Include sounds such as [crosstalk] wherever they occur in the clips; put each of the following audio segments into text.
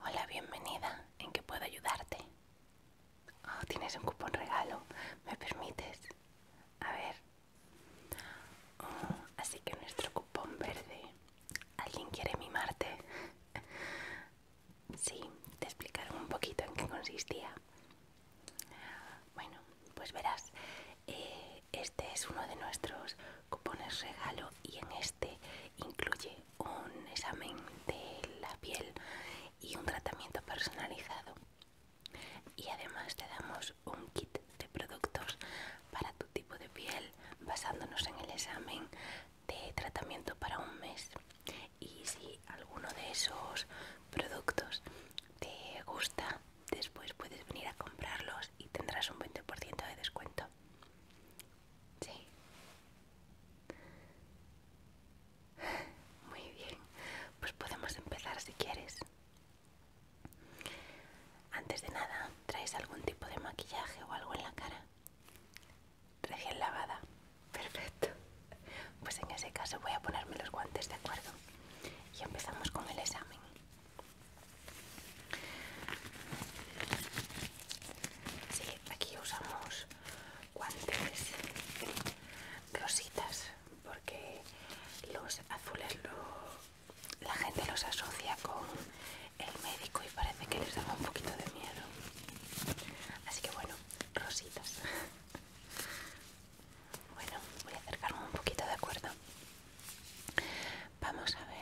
Hola, bienvenida. ¿En qué puedo ayudarte? Oh, tienes un cupón regalo. ¿Me permites? A ver. Oh, así que nuestro cupón verde. ¿Alguien quiere mimarte? sí, te explicaron un poquito en qué consistía. Bueno, pues verás. Eh, este es uno de nuestros cupones regalo y en este Incluye un examen de la piel y un tratamiento personalizado. Y además te damos un kit de productos para tu tipo de piel basándonos en el examen de tratamiento para un mes. Y si alguno de esos productos te gusta, después puedes venir a comprarlos y tendrás un 20% de descuento. Sí. [sighs] Muy bien, pues podemos empezar si quieres. Antes de nada, ¿traes algún tipo de maquillaje o algo en la cara? Recién lavada. Perfecto. Pues en ese caso voy a ponerme los guantes, ¿de acuerdo? Y empezamos con el examen. Sí, aquí usamos guantes rositas porque los azules la gente los asocia con el médico y parece que les da un poquito de miedo así que bueno rositas bueno voy a acercarme un poquito de acuerdo vamos a ver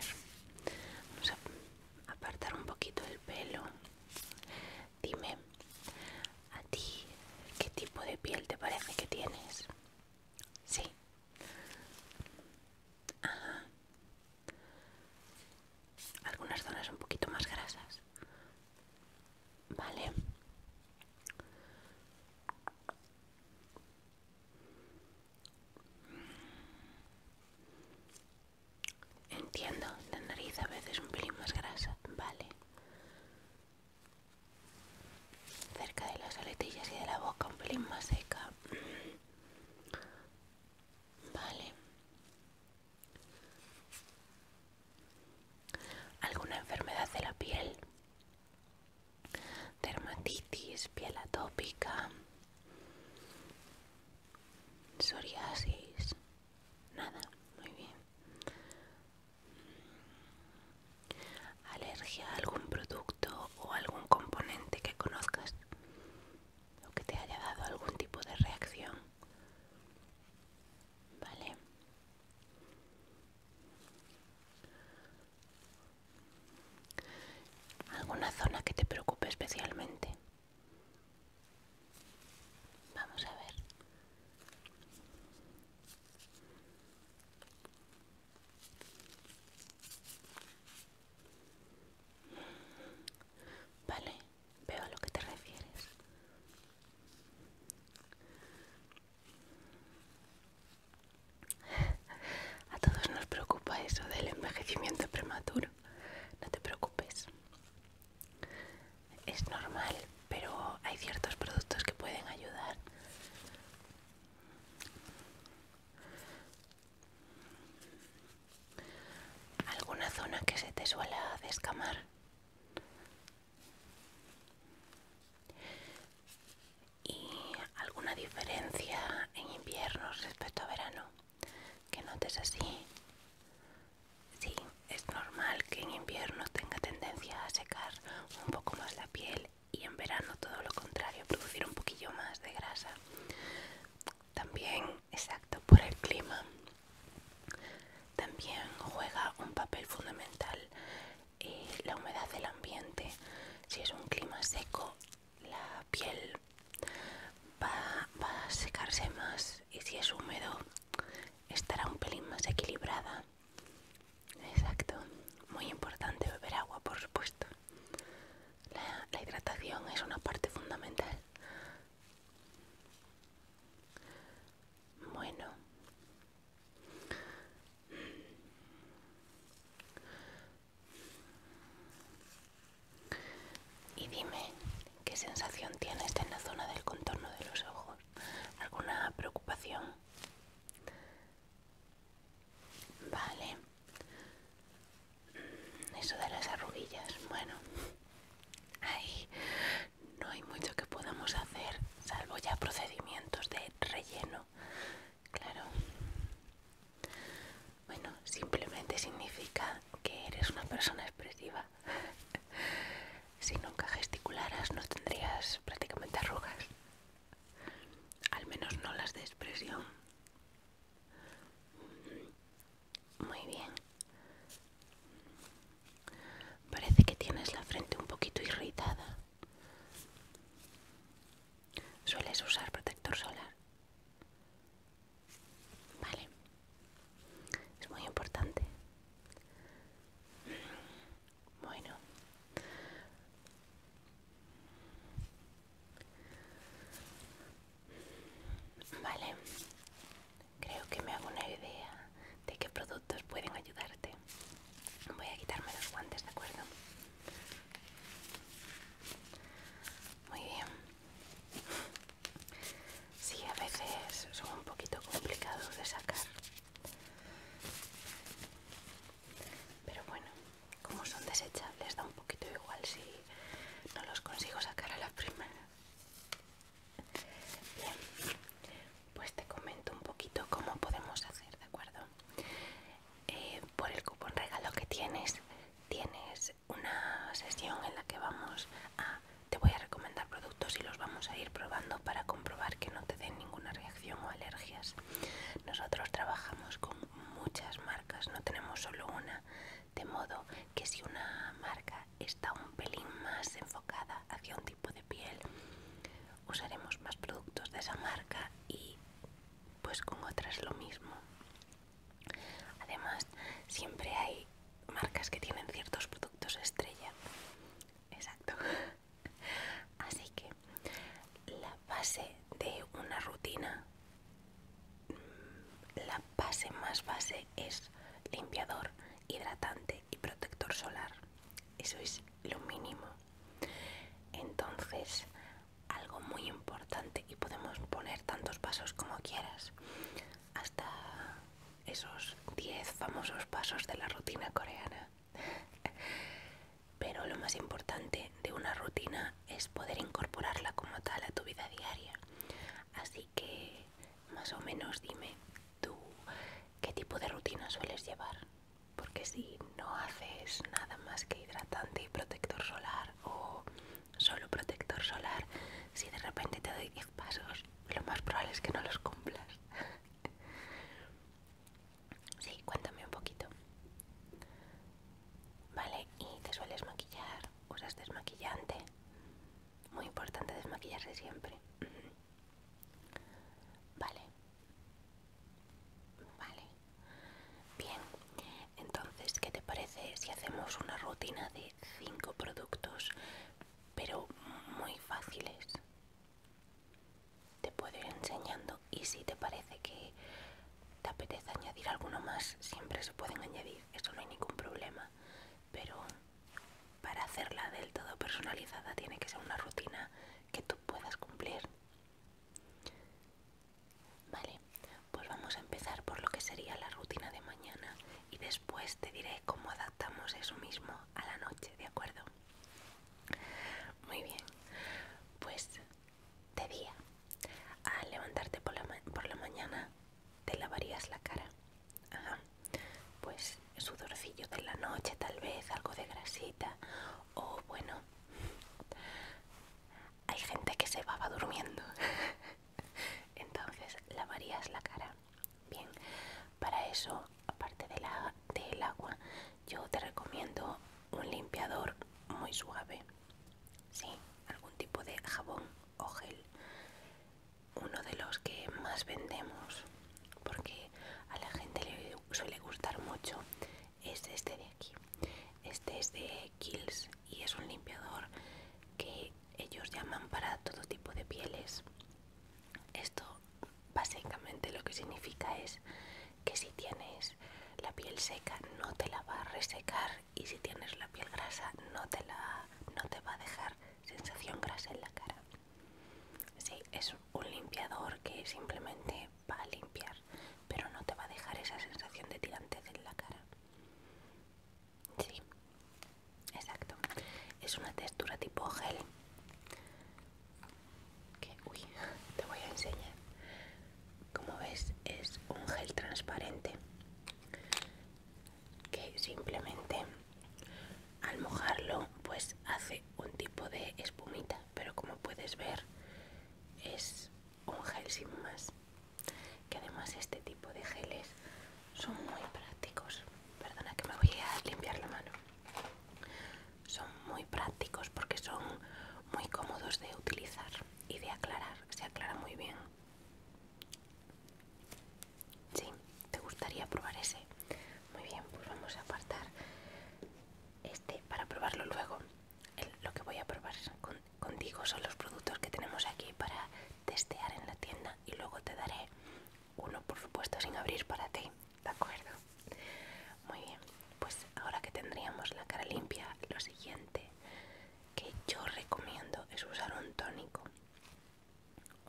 apartar un poquito el pelo. Dime, ¿a ti qué tipo de piel te parece que tienes? Sí. Algunas zonas un poquito más grasas. Vale. Entiendo, la nariz a veces un pelín más grasa, vale. Cerca de las aletillas y de la boca un pelín más seca. Vale. ¿Alguna enfermedad de la piel? Dermatitis, piel atópica psoriasis, nada, muy bien. Alergia a algún producto o algún componente que conozcas o que te haya dado algún tipo de reacción, vale. ¿Alguna zona que te preocupe especialmente? Vamos a ver. Vale, veo a lo que te refieres. [laughs] A todos nos preocupa eso del envejecimiento prematuro. No te preocupes. Es normal, pero hay ciertos productos que pueden ayudar. ¿Alguna zona que se te suela descamar? ¿Y alguna diferencia en invierno respecto a verano? que notes así. Sí, es normal que en invierno tenga tendencia a secar un poco más la piel y en verano todo lo contrario, producir un poquillo más de grasa. También, exacto, por el clima. También juega un papel fundamental eh, la humedad del ambiente. Si es un clima seco, la piel va, a secarse más y si es húmedo estará un pelín más equilibrada. Exacto, muy importante beber agua, por supuesto. la hidratación es una parte fundamental. Bueno, y dime, ¿qué sensación tienes en la zona del contorno de los ojos? ¿Alguna preocupación? Vale. Eso de las arrugillas? bueno. Ahí no hay mucho que podamos hacer, salvo ya procedimientos de relleno. Claro. Bueno, simplemente significa que eres una persona expresiva. [laughs] si nunca gesticularas no tendrías prácticamente arrugas. Al menos no las de expresión. Muy bien. Parece que tienes la frente un poquito irritada. ¿Sueles usar protector solar? Vale. Es muy importante. Bueno. Vale. Creo que me hago una idea de qué productos pueden ayudarte. Voy a quitarme los guantes, ¿de acuerdo? Muy bien. Sí, a veces son un poquito complicados de sacar. Pero bueno, como son desechables, da un poquito igual si no los consigo sacar a la primera. Bien, pues te comento un poquito cómo podemos hacer, ¿de acuerdo? Eh, por el cupón regalo que tienes, tienes una sesión en la que vamos a... Te voy a recomendar productos y los vamos a ir probando para comprobar que no te den ninguna reacción o alergias. Nosotros trabajamos con muchas marcas, no tenemos solo una, de modo que si una marca está un pelín más enfocada hacia un tipo de piel, usaremos más productos de esa marca y pues con otras lo mismo. Además, siempre hay marcas que tienen ciertos productos estrella. Exacto. [laughs] Así que la base de una rutina, mm, la base más base es limpiador, hidratante y protector solar. Eso es lo mínimo. Entonces, algo muy importante y podemos poner tantos pasos como quieras hasta esos 10 famosos pasos de la rutina coreana pero lo más importante de una rutina es poder incorporarla como tal a tu vida diaria así que más o menos dime tú qué tipo de rutina sueles llevar porque si no haces nada más que hidratante y protector solar o solo protector solar, si de repente te doy 10 pasos, lo más probable es que no los cumplas. [laughs] sí, cuéntame un poquito. Vale, ¿y te sueles maquillar? ¿Usas desmaquillante? Muy importante desmaquillarse siempre. Vale. Vale. Bien. Entonces, ¿qué te parece si hacemos una rutina de 5 productos, pero muy fáciles? Te puedo ir enseñando y si te parece que te apetece añadir alguno más, siempre se pueden añadir, eso no hay ningún problema, pero para hacerla del todo personalizada tiene que ser una rutina que tú puedas cumplir. Vale, pues vamos a empezar por lo que sería la rutina de mañana y después te diré cómo adaptamos eso mismo a la noche, ¿de acuerdo? Muy bien, pues de día, al levantarte por la, mañana, te lavarías la cara. Ajá. Pues sudorcillo de la noche, tal vez, algo de grasita, o bueno, hay gente que se va durmiendo. [laughs] [laughs] entonces lavarías la cara bien para eso aparte del agua yo te recomiendo un limpiador muy suave sí algún tipo de jabón o gel uno de los que más vendemos porque a la gente le suele gustar mucho es este de aquí este es de Kills y es un limpiador que ellos llaman para todo tipo de pieles. Esto básicamente lo que significa es que si tienes la piel seca no te la va a resecar y si tienes la piel grasa no te, la, no te va a dejar sensación grasa en la cara. Sí, es un limpiador que simplemente va a limpiar, pero no te va a dejar esa sensación de tirantez en la cara. Sí, exacto. Es una textura tipo gel. Que, uy, [laughs] te voy a enseñar. Como ves, es un gel transparente que simplemente al mojarlo pues hace un tipo de espumita pero como puedes ver es un gel sin más que además este tipo de geles son muy prácticos perdona que me voy a limpiar la mano son muy prácticos porque son muy cómodos de utilizar y de aclarar se aclara muy bien Sí, te gustaría probar ese. Muy bien, pues vamos a apartar este para probarlo luego. lo que voy a probar es con contigo son los productos que tenemos aquí para testear en la tienda y luego te daré uno por supuesto sin abrir para ti, ¿de acuerdo? Muy bien, pues ahora que tendríamos la cara limpia, lo siguiente que yo recomiendo es usar un tónico.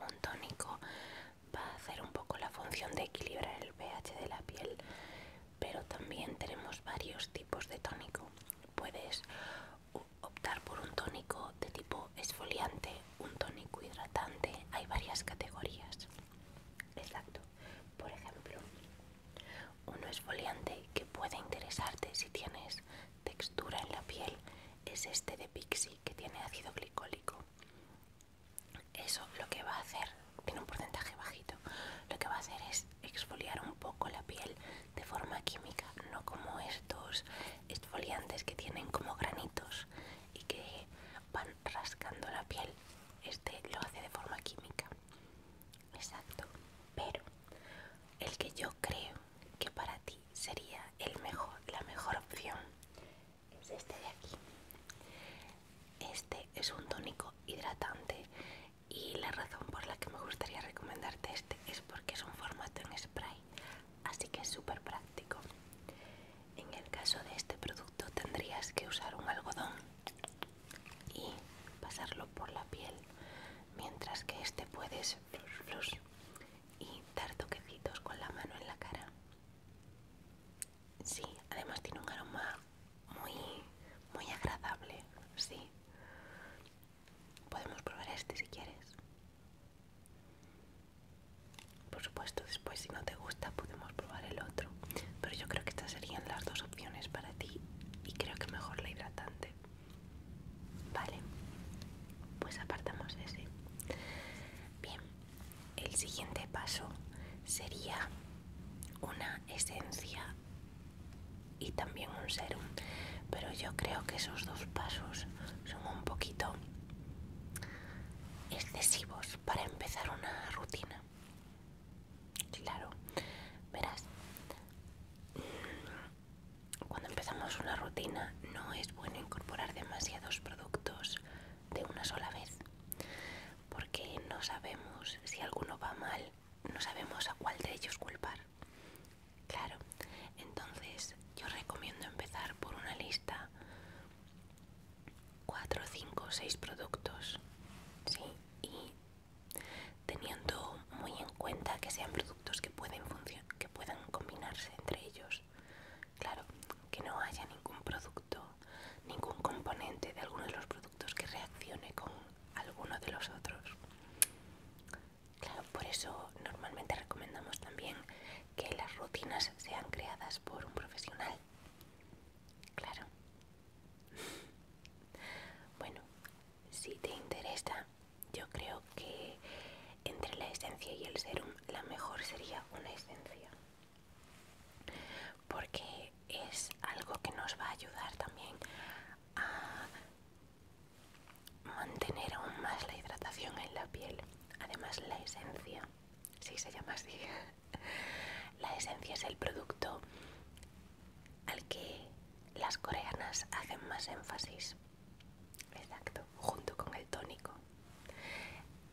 Un tónico va a hacer un poco la función de equilibrar el pH de la piel, pero también tenemos varios tipos de tónico. Puedes optar por un tónico de tipo esfoliante, un tónico hidratante, hay varias categorías. Exacto. Por ejemplo, uno esfoliante que puede interesarte si tienes textura en la piel es este de Pixi que tiene ácido glicólico. Eso lo que va a hacer, tiene un porcentaje bajito, lo que va a hacer es exfoliar un poco la piel de forma química, no como estos exfoliantes que tienen como granitos y que van rascando la piel. Este lo hace de forma química. Exacto. Pero el que yo creo que para ti sería el mejor, la mejor opción es este de aquí. Este es un tónico hidratante y la razón por la que me gustaría recomendarte este es porque es un formato en spray así que es súper práctico en el caso de este producto tendrías que usar un algodón y pasarlo por la piel mientras que este puedes y dar toquecitos con la mano en la cara sí además tiene un aroma muy muy agradable sí Podemos probar este si quieres. Por supuesto, después si no te gusta podemos probar el otro. Pero yo creo que estas serían las dos opciones para ti y creo que mejor la hidratante. Vale, pues apartamos ese. Bien, el siguiente paso sería una esencia y también un serum pero yo creo que esos dos pasos son un poquito excesivos para empezar una rutina claro verás mm, cuando empezamos una rutina no es bueno incorporar demasiados productos de una sola vez porque no sabemos si alguno va mal no sabemos a cuál de ellos culpar Claro, entonces yo recomiendo empezar por una lista 4, 5, 6 productos, ¿sí? Y teniendo muy en cuenta que sean productos que pueden, que puedan combinarse entre ellos. Claro, que no haya ningún producto, ningún componente de alguno de los productos que reaccione con alguno de los otros. Claro, por eso normalmente recomendamos también que las rutinas sean creadas por un profesional. Claro. Bueno, si te interesa, yo creo que entre la esencia y el serum la mejor sería una esencia. Porque es algo que nos va a ayudar también a mantener aún más la hidratación en la piel. Además, la esencia, si se llama así, [laughs] la esencia es el producto al que las coreanas hacen más énfasis. Exacto, junto con el tónico.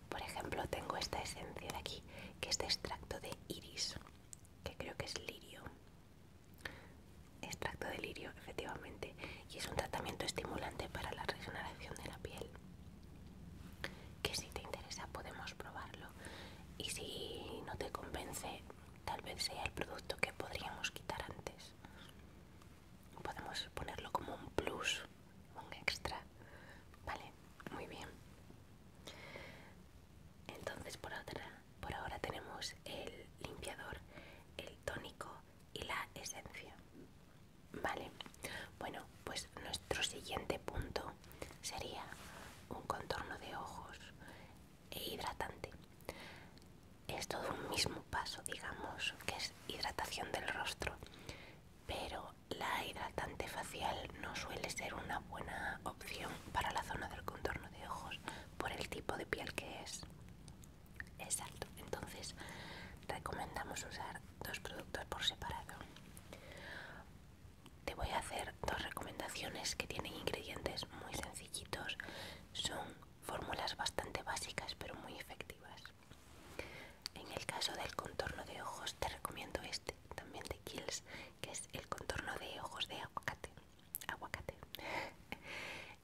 Por ejemplo, tengo esta esencia de aquí, que es de extracto de iris, que creo que es lirio. Extracto de lirio, efectivamente, y es un tratamiento estimulante para la regeneración de la piel. Que si te interesa podemos probarlo y si no te convence, tal vez sea el producto que podríamos quitar antes. Podemos ponerlo como un plus, un extra. Vale, muy bien. Entonces por otra, por ahora tenemos el limpiador, el tónico y la esencia. Vale, bueno, pues nuestro siguiente punto sería un contorno de ojos e hidratante. Es todo un mismo paso, digamos, que es hidratación del rostro, pero la hidratante facial no suele ser una buena opción para la zona del contorno de ojos por el tipo de piel que es. Exacto, entonces recomendamos usar dos productos por separado. Te voy a hacer dos recomendaciones que tienen ingredientes muy sencillitos. Son fórmulas bastante básicas pero muy efectivas. En el caso del contorno de ojos te recomiendo este, también de Kills, que es el contorno de ojos de aguacate. Aguacate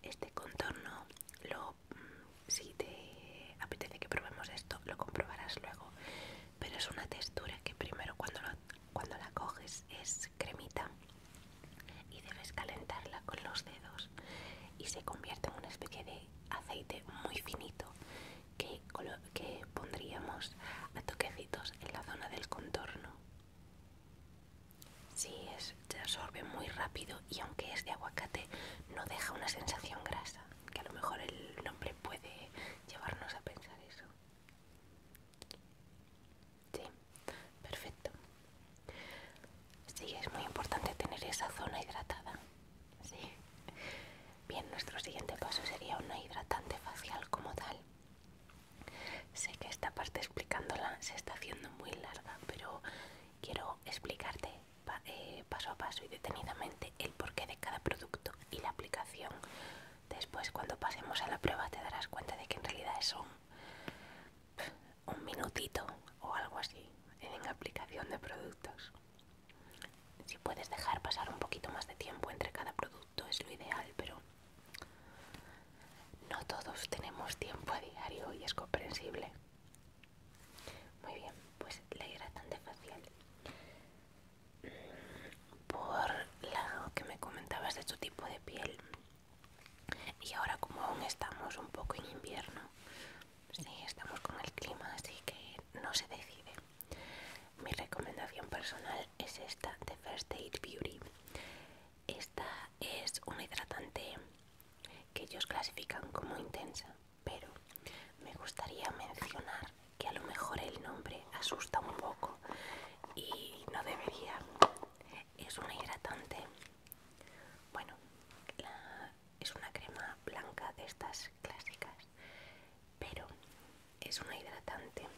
este contorno mm, si te apetece que probemos esto lo comprobarás luego pero es una textura que primero cuando, la coges es cremita y debes calentarla con los dedos y se convierte en una especie de aceite muy finito que pondríamos a toquecitos en la zona del contorno Sí, es, se absorbe muy rápido y aunque es de aguacate no deja una sensación grasa, que a lo mejor el nombre puede llevarnos a pensar eso. Sí, perfecto. Sí, es muy importante tener esa zona hidratada. Sí. Bien, nuestro siguiente paso sería una hidratante facial como tal. Sé que esta parte explicándola se está haciendo muy larga, pero quiero explicarte eh, paso a paso y detenidamente el porqué de cada producto y la aplicación. Después, cuando pasemos a la prueba, te darás cuenta de que en realidad es un minutito o algo así en aplicación de productos. Si puedes dejar pasar un poquito más de tiempo entre cada producto es lo ideal, pero no todos tenemos tiempo a diario y es comprensible. Muy bien, pues la hidratante facial. Por lo que me comentabas de tu tipo de piel. Y ahora como aún estamos un poco en invierno, sí, estamos con el clima, así que no se decide. Mi recomendación personal es esta de First Aid Beauty. Esta es una hidratante que ellos clasifican como intensa, pero me gustaría mencionar que a lo mejor el nombre asusta un poco y no debería. Es una hidratante, bueno, es una crema blanca de estas clásicas, pero es una hidratante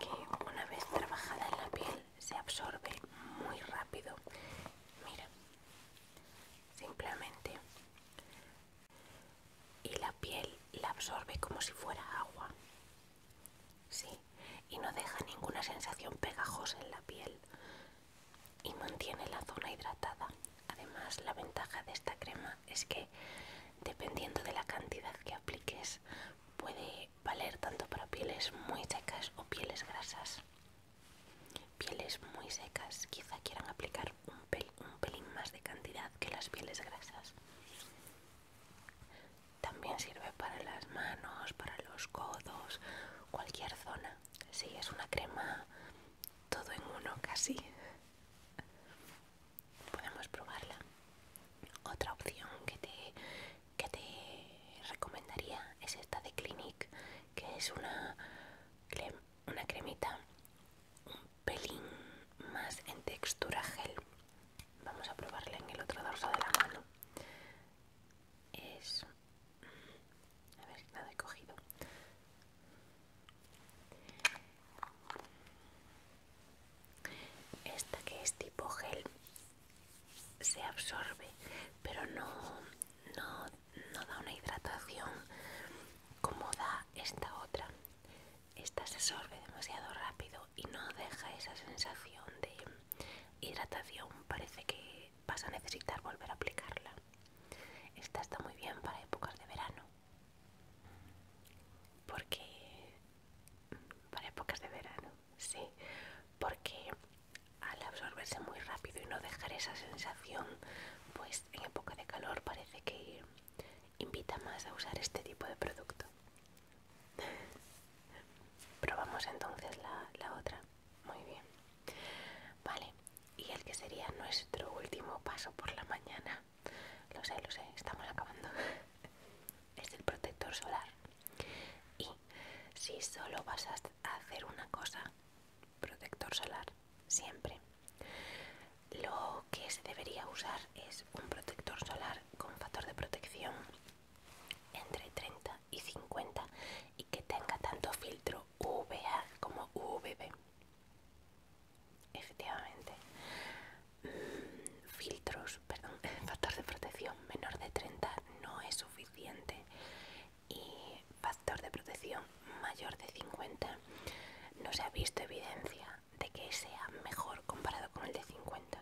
que una vez trabajada en la piel se absorbe muy rápido. Mira, simplemente. Y la piel la absorbe como si fuera agua. y no deja ninguna sensación pegajosa en la piel. Y mantiene la zona hidratada. Además, la ventaja de esta crema es que, dependiendo de la cantidad que apliques, puede valer tanto para pieles muy secas o pieles grasas. Pieles muy secas quizá quieran aplicar un, pel un pelín más de cantidad que las pieles grasas. También sirve para las manos, para los codos, cualquier zona. Sí, es una crema todo en uno casi. Podemos probarla. Otra opción que te que te recomendaría es esta de Clinique, que es una, una cremita un pelín más en textura gel. Vamos a probarla en el otro dorso de la mano. Es... A ver, nada he cogido. Esta que es tipo gel se absorbe pero no, no, no da una hidratación como da esta otra esta se absorbe demasiado rápido y no deja esa sensación de hidratación parece que vas a necesitar volver a aplicarla esta está muy bien para épocas de verano porque para épocas de verano sí, porque al absorberse muy rápido y no dejar esa sensación, pues en época de calor parece que invita más a usar este tipo de producto. [laughs] Probamos entonces la, la otra. Muy bien. Vale, y el que sería nuestro último paso por la mañana. Lo sé, lo sé, estamos acabando. [laughs] es el protector solar. Y si solo vas a hacer una cosa, protector solar, siempre. Lo que se debería usar es un protector solar con factor de protección entre 30 y 50 y que tenga tanto filtro UVA como UVB. Efectivamente. Mm, filtros, perdón, [laughs] factor de protección menor de 30 no es suficiente y factor de protección mayor de 50, no se ha visto evidencia de que sea mejor comparado con el de 50.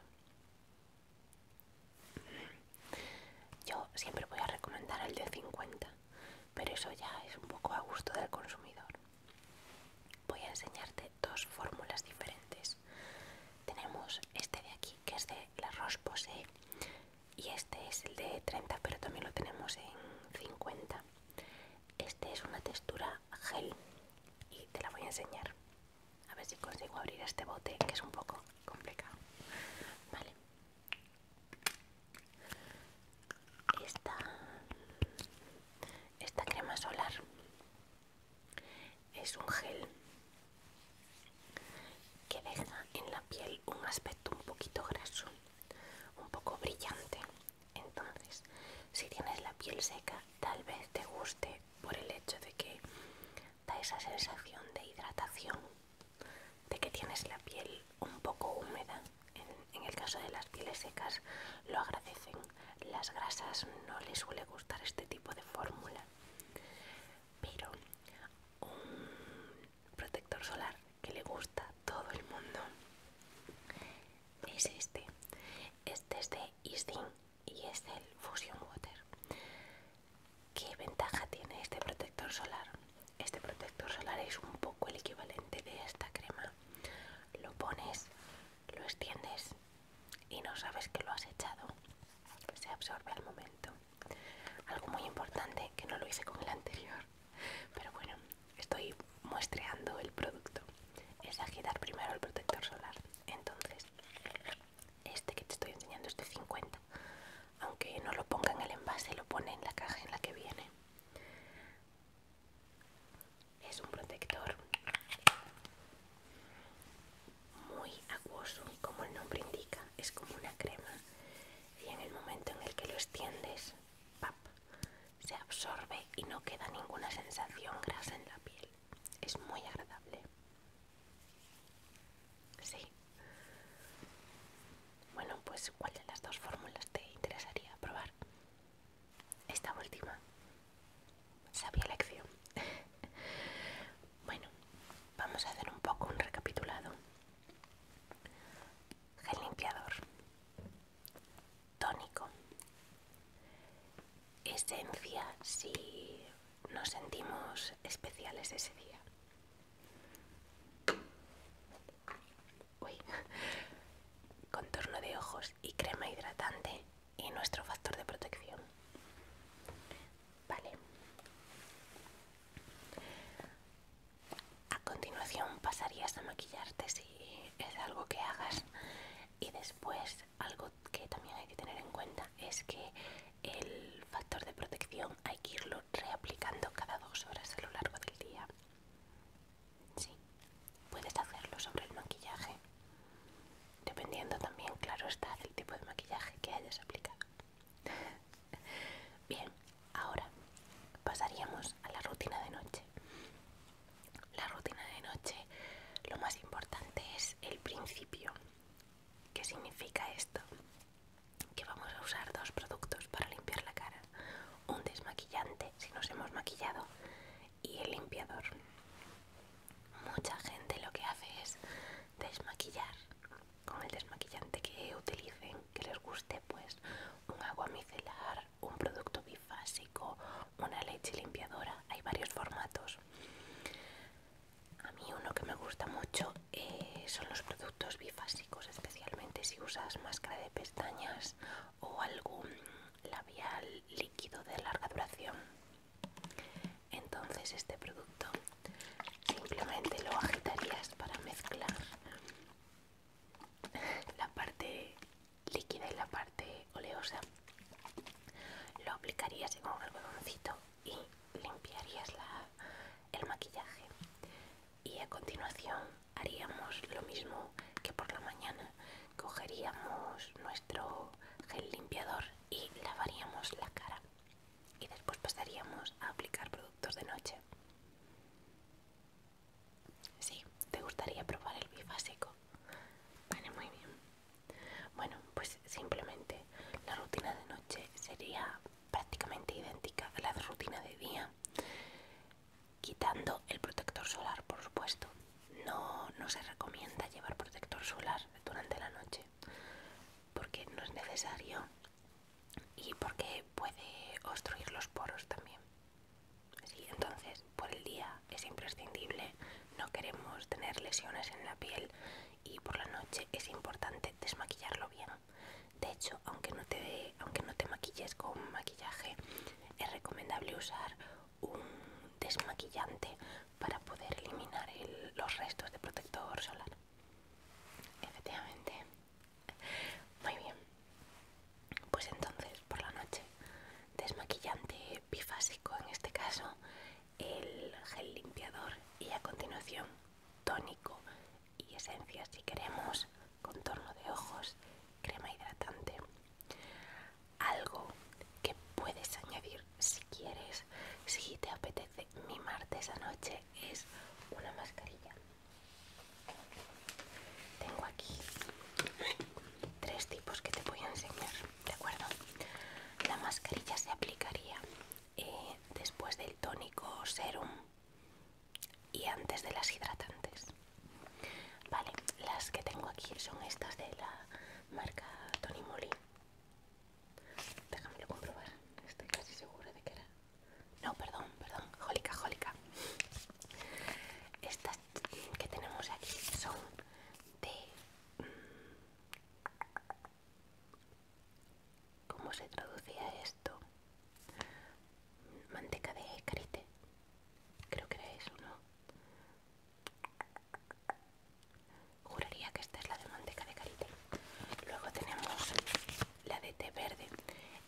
Yo siempre voy a recomendar el de 50, pero eso ya es un poco a gusto del consumidor. Voy a enseñarte dos fórmulas diferentes. Tenemos este de aquí que es de la Roche y este es el de 30 pero también lo tenemos en 50 este es una textura gel y te la voy a enseñar a ver si consigo abrir este bote que es un poco complicado vale esta crema solar es un gel que deja en la piel un aspecto un poquito graso, un poco brillante. Entonces, si tienes la piel seca, tal vez te guste por el hecho de que da esa sensación de hidratación, de que tienes la piel un poco húmeda. En, en el caso de las pieles secas, lo agradecen. Las grasas no les suele gustar este tipo de fórmula pero un protector solar que le gusta a todo el mundo es este. Este es de Isdin y es el Fusion Water. ¿Qué ventaja tiene este protector solar? Este protector solar es un poco el equivalente de esta crema. Lo pones, lo extiendes y no sabes que lo has echado. Se absorbe al momento algo muy importante que no lo hice con el anterior pero bueno estoy muestreando el producto es agitar primero el protector solar entonces este que te estoy enseñando es de 50 aunque no lo ponga en el envase lo pone en la caja en la que viene es un protector muy acuoso y como el nombre indica es como una crema y en el momento en el que lo extiendes se absorbe y no queda ninguna sensación grasa en la piel es muy agradable sí bueno pues cuál de las dos fórmulas te interesaría probar esta última Sabía elección bueno, vamos a hacer un poco un recapitulado. Gel limpiador, tónico, esencia si nos sentimos especiales ese día. Uy. [laughs] Contorno de ojos y crema hidratante y nuestro factor de protección. Vale. A continuación pasarías a maquillarte si es algo que hagas y después algo que también hay que tener en cuenta es que el factor de protección hay que irlo reaplicando cada dos horas a lo largo del día. Sí, puedes hacerlo sobre el maquillaje, dependiendo también, claro está, del tipo de maquillaje que hayas aplicado. Bien, ahora pasaríamos a la rutina de noche. La rutina de noche, lo más importante es el principio. ¿Qué significa esto? Que vamos a usar dos productos para limpiar la cara. Un desmaquillante, si nos hemos maquillado, y el limpiador. Mucha gente lo que hace es desmaquillar con el desmaquillante que utilicen, que les guste, pues un agua micelar, un producto bifásico, una leche limpiadora, hay varios formatos. A mí uno que me gusta mucho eh, son los productos bifásicos, especialmente si usas máscara de pestañas o algún labial líquido de larga duración. Entonces este producto simplemente lo agitarías para mezclar la parte líquida y la parte oleosa lo aplicarías en un algodoncito y limpiarías el maquillaje y a continuación haríamos lo mismo que por la mañana cogeríamos nuestro gel limpiador y lavaríamos la cara y después pasaríamos a aplicar productos de noche. Sí, te gustaría probar el bifásico. Vale, muy bien. Bueno, pues simplemente la rutina de noche sería prácticamente idéntica a la rutina de día, quitando el protector solar, por supuesto. No, no se recomienda llevar protector solar durante la noche porque no es necesario y porque puede obstruir los poros también. entonces, por el día es imprescindible, no queremos tener lesiones en la piel y por la noche es importante desmaquillarlo bien. De hecho, aunque no te, aunque no te maquilles con maquillaje, es recomendable usar un desmaquillante para poder eliminar los restos de protector solar. Efectivamente. Muy bien. Pues entonces, por la noche, desmaquillante bifásico en este caso, el gel limpiador y a continuación tónico y esencia si queremos, contorno de ojos, crema hidratante. Algo que puedes añadir si quieres, si te apetece mi martes anoche es una mascarilla. Tengo aquí tres tipos que te voy a enseñar, ¿de acuerdo? La mascarilla se aplicaría eh, después del tónico serum y antes de las hidratantes. Vale, las que tengo aquí son estas de la marca Tony Moly. Déjamelo comprobar. Estoy casi segura de que era. No, perdón, perdón. Jólica, jólica. Estas que tenemos aquí son de. Mm, ¿Cómo se traducía esto? Manteca de carite. Creo que era eso, ¿no? Juraría que esta es la de manteca de carite. Luego tenemos la de té verde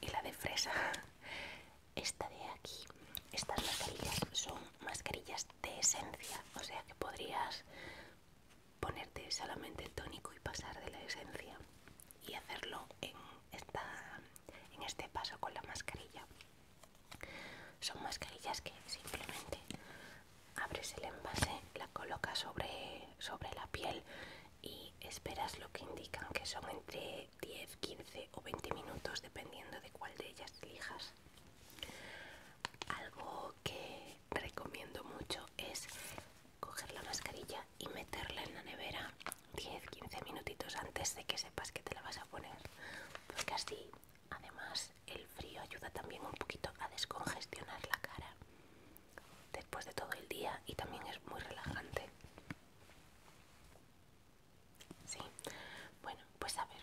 y la de fresa. Esta de aquí, estas mascarillas son mascarillas de esencia, o sea que podrías ponerte solamente el tónico y pasar de la esencia y hacerlo en, en este paso con la mascarilla. Son mascarillas que simplemente abres el envase, la colocas sobre, la piel y esperas lo que indican, que son entre 10, 15 o 20 minutos, dependiendo de cuál de ellas elijas. Algo que recomiendo mucho es coger la mascarilla y meterla en la nevera 10-15 minutitos antes de que sepas que te la vas a poner, porque así, además, el frío ayuda también un poquito a descongestionar la cara después de todo el día y también es muy relajante. Sí, bueno, pues a ver,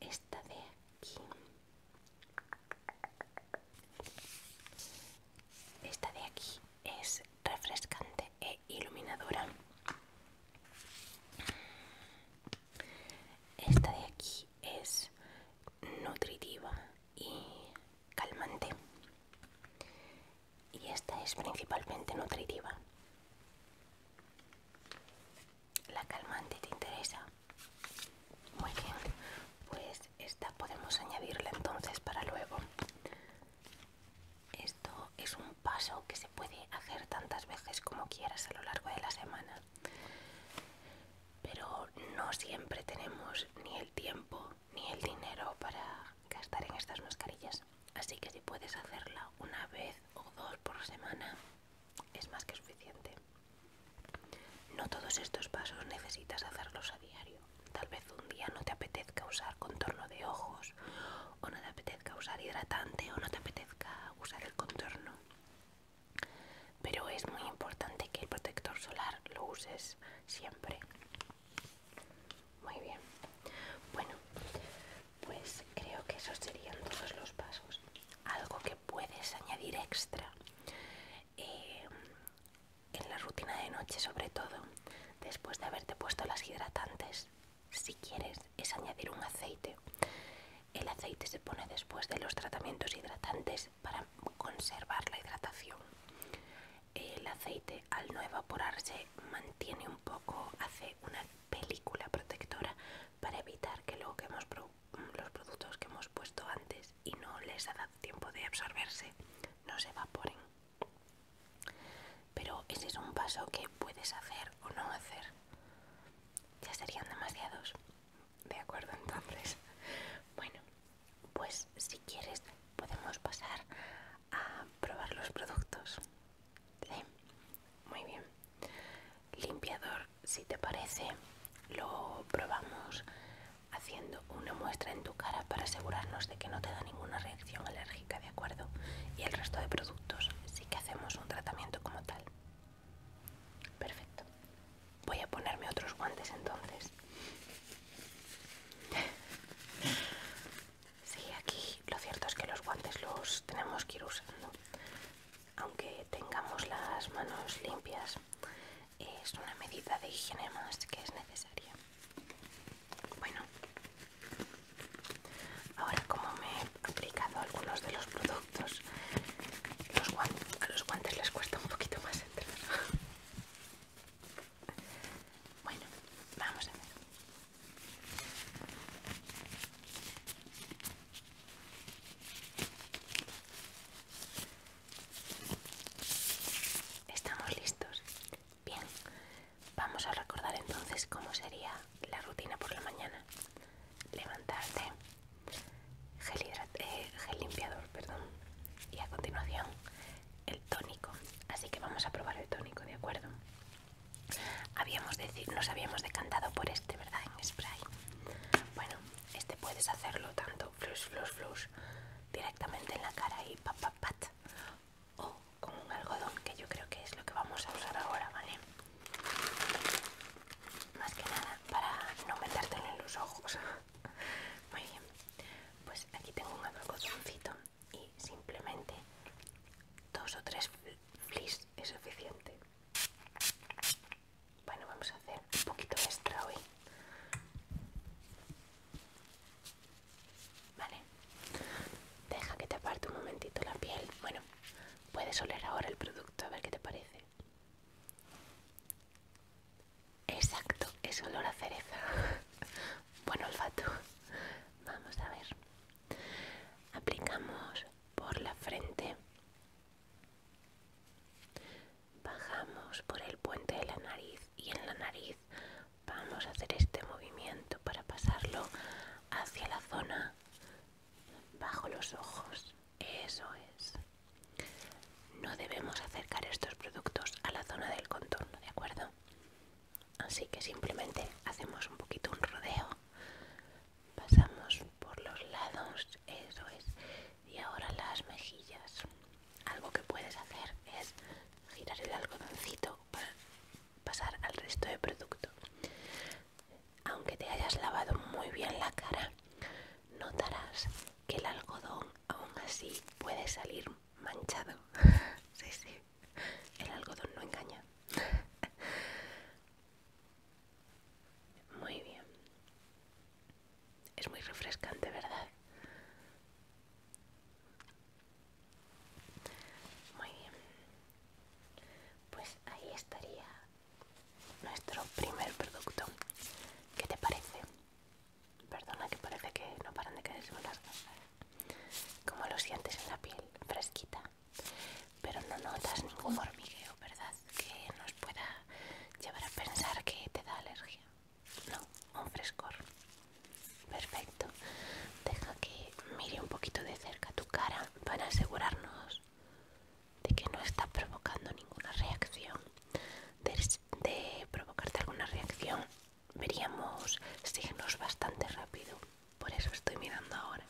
esta de aquí. Esta de aquí es refrescante e iluminadora. Esta de aquí es nutritiva y calmante y esta es principalmente nutritiva la calmante te interesa muy bien pues esta podemos añadirla entonces para luego esto es un paso que se puede hacer tantas veces como quieras a lo largo de la semana pero no siempre tenemos ni el tiempo ni el dinero para gastar en estas mascarillas. Así que si puedes hacerla una vez o dos por semana, es más que suficiente. No todos estos pasos necesitas hacerlos a diario. Tal vez un día no te apetezca usar contorno de ojos, o no te apetezca usar hidratante, o no te apetezca usar el contorno. Pero es muy importante que el protector solar lo uses siempre. Muy bien. Bueno, pues creo que esos serían todos los pasos. Algo que puedes añadir extra eh, en la rutina de noche, sobre todo, después de haberte puesto las hidratantes, si quieres, es añadir un aceite. El aceite se pone después de los tratamientos hidratantes para conservar la hidratación. El aceite al no evaporarse mantiene un poco, hace una película protectora para evitar que, los productos que hemos puesto antes y no les ha dado tiempo de absorberse no se evaporen. Pero ese es un paso que puedes hacer o no hacer. Ya serían demasiados. De acuerdo entonces. [laughs] Bueno, pues si quieres podemos pasar a probar los productos. ¿Sí? Muy bien. Limpiador, si te parece, lo probamos haciendo una muestra en tu cara para asegurarnos de que no te da ninguna reacción alérgica, ¿de acuerdo? Y el resto de productos sí que hacemos un tratamiento como tal. Perfecto. Voy a ponerme otros guantes entonces. Sí, aquí lo cierto es que los guantes los tenemos que ir usando. Aunque tengamos las manos limpias, es una medida de higiene más que es necesaria. Bueno, ahora como me he aplicado algunos de los productos, a los guantes les cuesta un poquito más entrar. Bueno, vamos a ver. Estamos listos. Bien, vamos a recordar entonces cómo sería la rutina por la mañana. Levantarte, gel eh, gel limpiador, perdón. Y a continuación el tónico. Así que vamos a probar el tónico, ¿de acuerdo? Habíamos decir, nos habíamos decantado por este, ¿verdad? En spray. Bueno, este puedes hacerlo tanto flush, flush, flush directamente en la cara y pat, pat, O con un algodón, que yo creo que es lo que vamos a usar ahora, ¿vale? Más que nada para no metértelo en los ojos. [laughs] Muy bien, pues aquí tengo un algodoncito y simplemente dos o tres flis es suficiente bueno vamos a hacer un poquito extra hoy vale deja que te aparte un momentito la piel bueno puedes oler ahora el producto a ver qué te parece Exacto, es olor a cereza. [laughs] Buen olfato. Vamos a ver. Aplicamos por la frente. Bajamos por el puente de la nariz y en la nariz vamos a hacer este movimiento para pasarlo hacia la zona bajo los ojos. Eso es. No debemos acercar estos productos a la zona del contorno, ¿de acuerdo? Así que simplemente hacemos un poquito un rodeo, pasamos por los lados, eso es, y ahora las mejillas. Algo que puedes hacer es girar el algodoncito para pasar al resto del producto. Aunque te hayas lavado muy bien la cara, notarás que el algodón aún así puede salir manchado. [laughs] sí, sí, el algodón no engaña. Muy bien. Es muy refrescante, ¿verdad? Muy bien. Pues ahí estaría nuestro primer producto. ¿Qué te parece? Perdona que parece que no paran de caerse las gafas. Como lo sientes en la piel, fresquita. Pero no notas ningún hormigueo, ¿verdad? Que nos pueda llevar a pensar que te da alergia. No, un frescor. Perfecto. Deja que mire un poquito de cerca tu cara para asegurarnos de que no está provocando ninguna reacción de, provocarte alguna reacción, veríamos signos bastante rápido. Por eso estoy mirando ahora.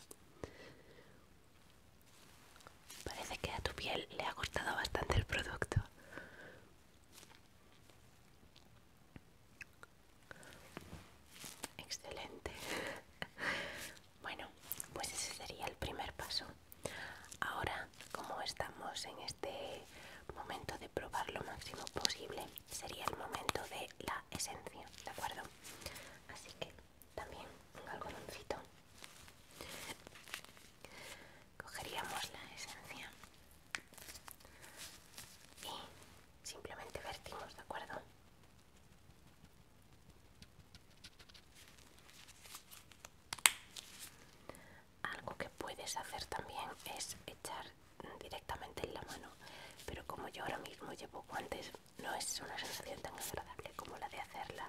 Parece que a tu piel le ha costado bastante el producto. Excelente. [laughs] Bueno, pues ese sería el primer paso. Ahora como estamos en este momento de probar lo máximo posible, sería el momento de la esencia, ¿de acuerdo? Así que también un algodoncito. Cogeríamos la esencia y simplemente vertimos, ¿de acuerdo? algo que puedes hacer también es echar directamente en la mano pero como yo ahora mismo llevo guantes no es una sensación tan agradable como la de hacerla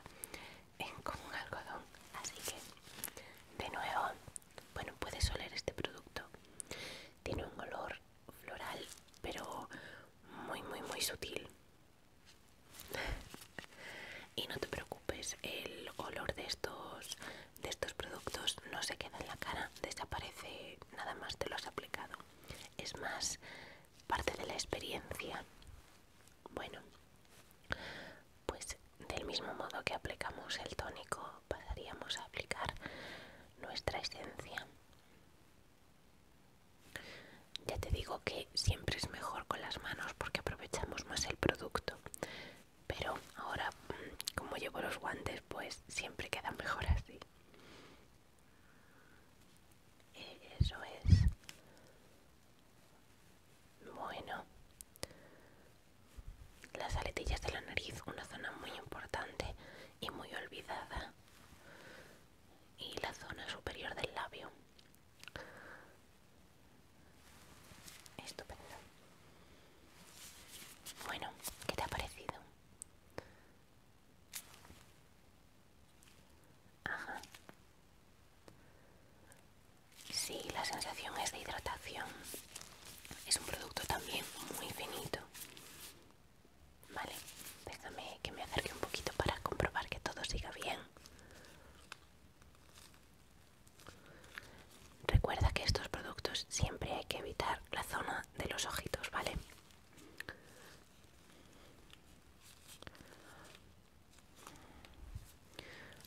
en con un algodón así que de nuevo bueno puedes oler este producto tiene un olor floral pero muy muy muy sutil [laughs] y no te preocupes el olor de estos de estos productos no se queda en la cara, desaparece nada más te lo has aplicado. Es más parte de la experiencia. Bueno, pues del mismo modo que aplicamos el tónico, pasaríamos a aplicar nuestra esencia. Ya te digo que siempre es mejor con las manos porque aprovechamos más el producto pero ahora como llevo los guantes pues siempre queda mejor así eh, eso es bueno las aletillas de la nariz una zona muy importante y muy olvidada y la zona superior del labio Estupendo. Bueno, ¿qué te ha parecido? Ajá. Sí, la sensación es de hidratación. Es un producto también muy finito. Vale, déjame que me acerque un poquito para comprobar que todo siga bien. Recuerda que estos productos siempre hay que evitar la zona de los ojitos, ¿vale?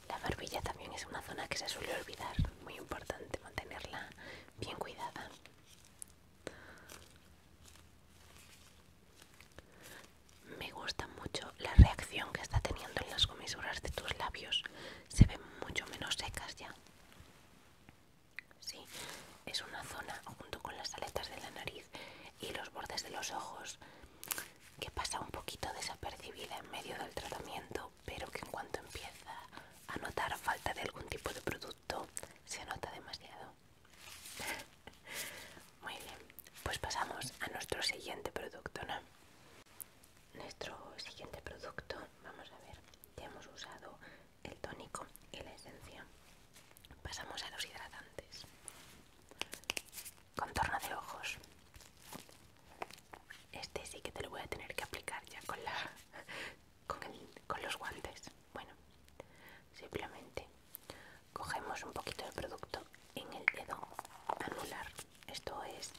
La barbilla también es una zona que se suele olvidar, muy importante mantenerla bien cuidada. Me gusta mucho la reacción que está teniendo en las comisuras de tus labios se ven mucho menos secas ya. Sí, es una zona junto con las aletas de la nariz y los bordes de los ojos que pasa un poquito desapercibida en medio del tratamiento, pero que en cuanto empieza a notar falta de algún tipo de producto, se nota demasiado. [laughs] Muy bien, pues pasamos a nuestro siguiente producto, ¿no? nuestro siguiente producto vamos a ver ya hemos usado el tónico y la esencia pasamos a los hidratantes contorno de ojos este sí que te lo voy a tener que aplicar ya con la con, los guantes bueno simplemente cogemos un poquito de producto en el dedo anular esto es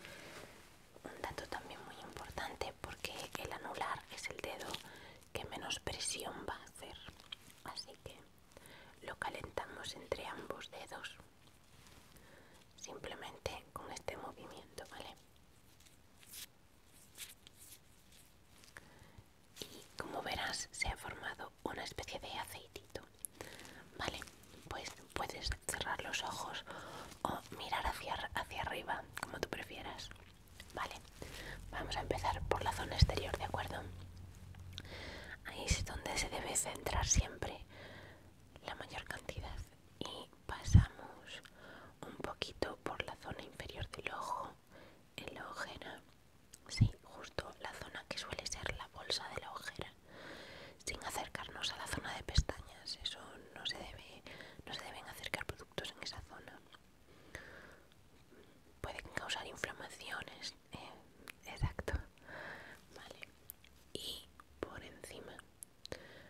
un dato también muy importante porque el anular es el dedo que menos presión va a hacer así que lo calentamos entre ambos dedos simplemente con este movimiento vale y como verás se ha formado una especie de aceitito vale pues puedes cerrar los ojos o mirar hacia, hacia arriba, como tú prefieras. Vale, vamos a empezar por la zona exterior, ¿de acuerdo? Ahí es donde se debe centrar siempre la mayor cantidad. Y pasamos un poquito por la zona inferior del ojo, en la ojera. Sí, justo la zona que suele ser la bolsa de la ojera sin acercarnos a la zona de pestañas. Eso no se debe, no se deben acercar productos en esa zona. Pueden causar inflamaciones, eh, exacto. Vale. Y por encima,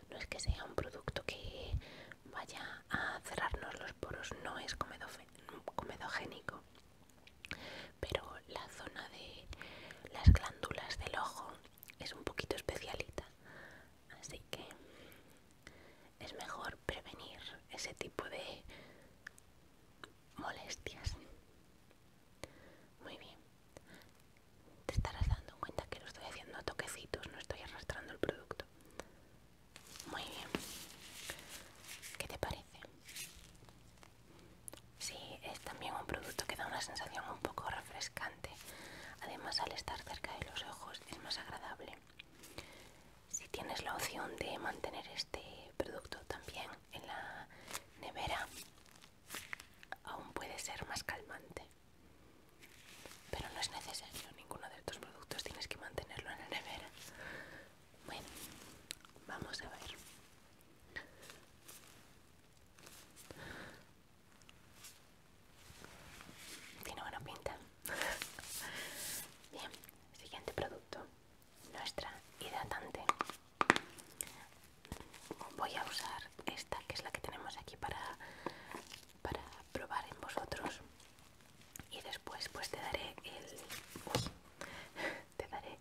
no es que sea un producto que vaya a cerrarnos los poros, no es comedogénico, pero la zona de las glándulas del ojo es un poquito especialita. Así que es mejor prevenir ese tipo de molestias. Muy bien. Te estarás dando cuenta que lo estoy haciendo a toquecitos, no estoy arrastrando el producto. Muy bien. ¿Qué te parece? Sí, es también un producto que da una sensación un poco refrescante. Además, al estar cerca de los ojos es más agradable. Si tienes la opción de mantener este producto también en la nevera, aún puede ser más calmante. Pero no es necesario, ninguno de estos productos tienes que mantenerlo en la nevera. Bueno, vamos a ver. Tiene buena pinta. [laughs] Bien, siguiente producto. Nuestra hidratante. Voy a usar esta, que es la que tenemos aquí para, para probar en vosotros. Y después pues te daré el... [laughs] te daré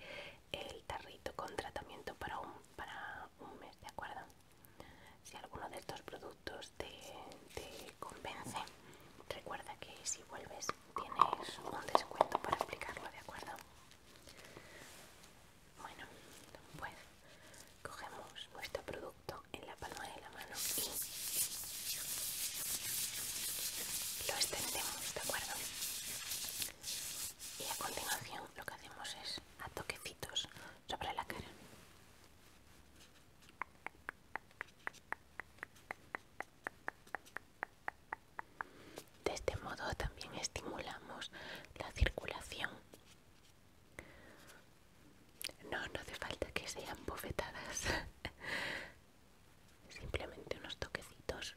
el tarrito con tratamiento para un, para un mes, ¿de acuerdo? Si alguno de estos productos te, convence, recuerda que si vuelves tienes un descuento para aplicarlo, ¿de acuerdo? Bueno, pues cogemos nuestro producto en la palma de la mano y lo extendemos, ¿de acuerdo? Y a continuación lo que hacemos es a toquecitos sobre la cara. De este modo también estimulamos la circulación. No, no hace falta que sean bofetadas. [laughs] Simplemente unos toquecitos.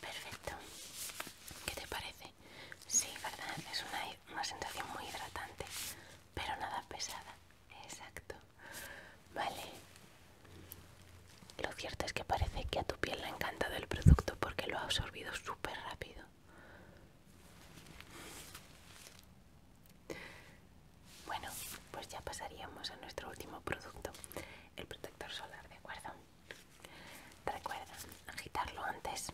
Perfecto. ¿Qué te parece? Sí, ¿verdad? Es una, sensación muy hidratante, pero nada pesada. Exacto. Vale. Lo cierto es que parece que a tu piel le ha encantado el producto porque lo ha absorbido súper rápido. Bueno, pues ya pasaríamos a nuestro último producto, el protector solar, ¿de acuerdo? Recuerda agitarlo antes.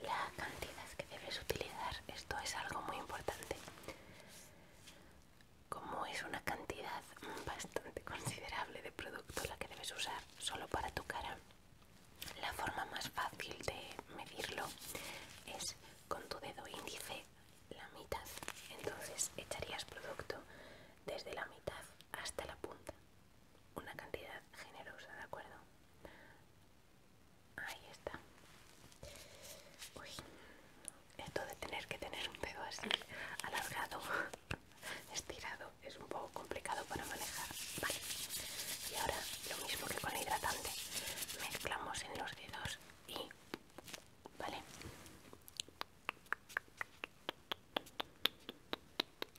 Y la cantidad que debes utilizar, esto es algo muy importante. Como es una cantidad bastante considerable de producto la que debes usar solo para tu cara, la forma más fácil de medirlo es con tu dedo índice la mitad. Entonces echarías producto desde la mitad hasta la punta. Una cantidad generosa, ¿de acuerdo? Ahí está. Uy, esto de tener que tener un pedo así alargado, [laughs] estirado, es un poco complicado para manejar. Vale. Y ahora, lo mismo que con el hidratante, mezclamos en los dedos y ¿vale?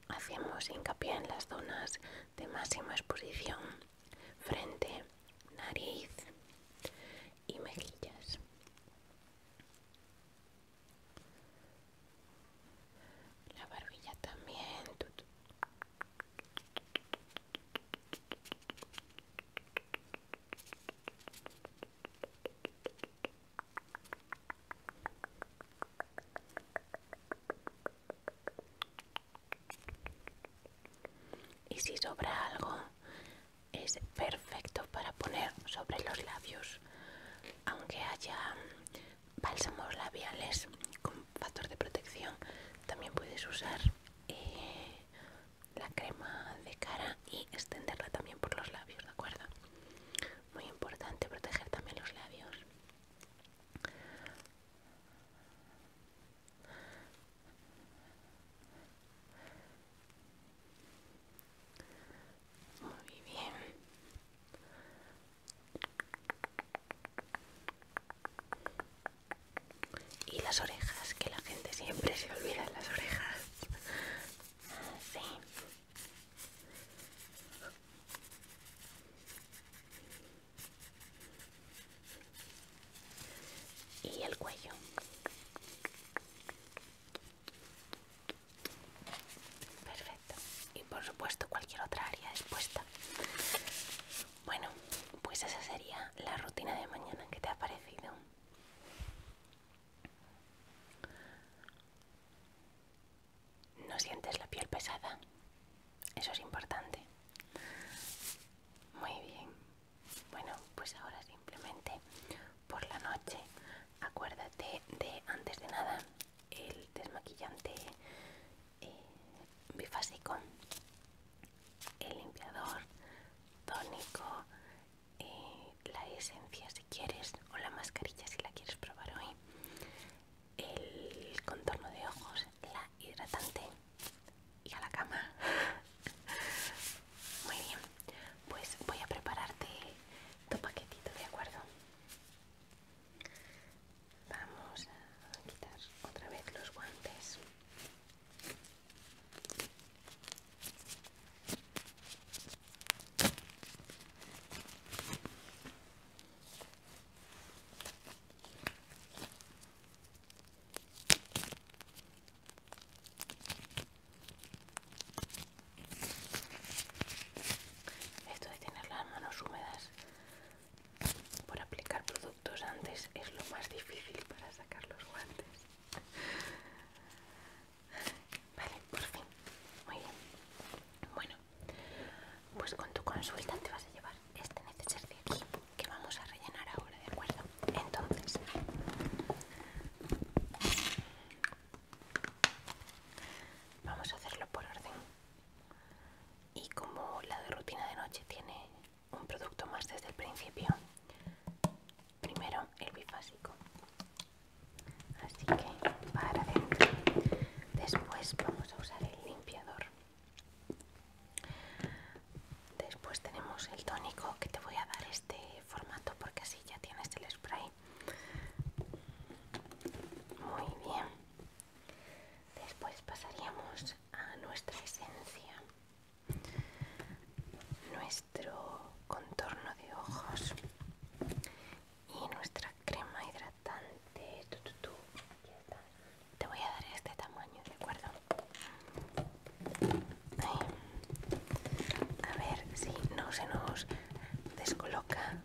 Hacemos hincapié en las zonas de máxima exposición, frente, nariz y mejillas. La barbilla también. Y si sobra algo, es perfecto para poner sobre los labios, aunque haya bálsamos labiales con factor de protección, también puedes usar eh, la crema de cara y extenderla también por los labios, ¿de acuerdo? Muy importante proteger también los labios. Muy bien. Y las orejas, que la gente siempre se olvida de las orejas. Y el cuello. Perfecto. Y por supuesto cualquier otra área expuesta. Bueno, pues esa sería la rutina de mañana que te ha parecido. No sientes la piel pesada. Eso es importante. Muy bien. Bueno, pues ahora simplemente por la noche acuérdate de antes de nada el desmaquillante eh, bifásico, el limpiador tónico, la esencia si quieres o la mascarilla si la quieres probar hoy el contorno de ojos la hidratante y a la cama [laughs] muy bien pues voy a prepararte tu paquetito de acuerdo vamos a quitar otra vez los guantes esto de tener las manos húmedas por aplicar productos antes es lo más difícil para sacar los guantes. Vale, por fin. Muy bien. Bueno, pues con tu consulta te vas a llevar este neceser de aquí que vamos a rellenar ahora, ¿de acuerdo? Entonces, vamos a hacerlo por orden. Y como la de rutina de noche tiene un producto más desde el principio, primero el bifásico. Así que para adentro. Después vamos a usar el limpiador. Después tenemos el tónico que te voy a dar este formato porque así ya tienes el spray. Muy bien. Después pasaríamos a nuestra esencia nuestro contorno de ojos y nuestra crema hidratante. Te voy a dar este tamaño, ¿de acuerdo? A ver si no se nos descoloca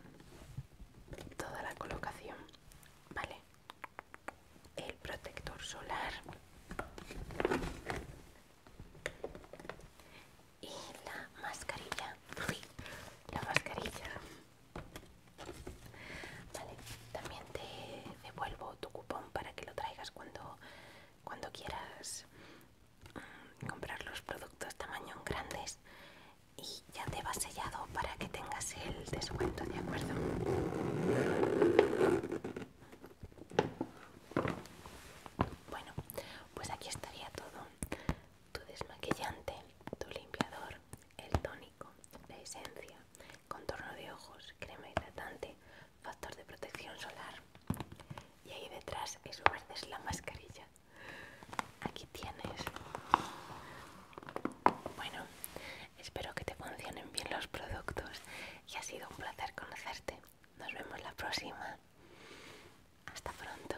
toda la colocación. Vale. El protector solar y la mascarilla la mascarilla vale también te devuelvo tu cupón para que lo traigas cuando cuando quieras mm, comprar los productos tamaño grandes y ya te va sellado para que tengas el descuento de acuerdo bueno, pues aquí estaría todo. Tu desmaquillante, tu limpiador, el tónico, la esencia, contorno de ojos, crema hidratante, factor de protección solar. Y ahí detrás, eso verde es la mascarilla. Aquí tienes. Bueno, espero que te funcionen bien los productos y ha sido un placer conocerte. Nos vemos la próxima. Hasta pronto.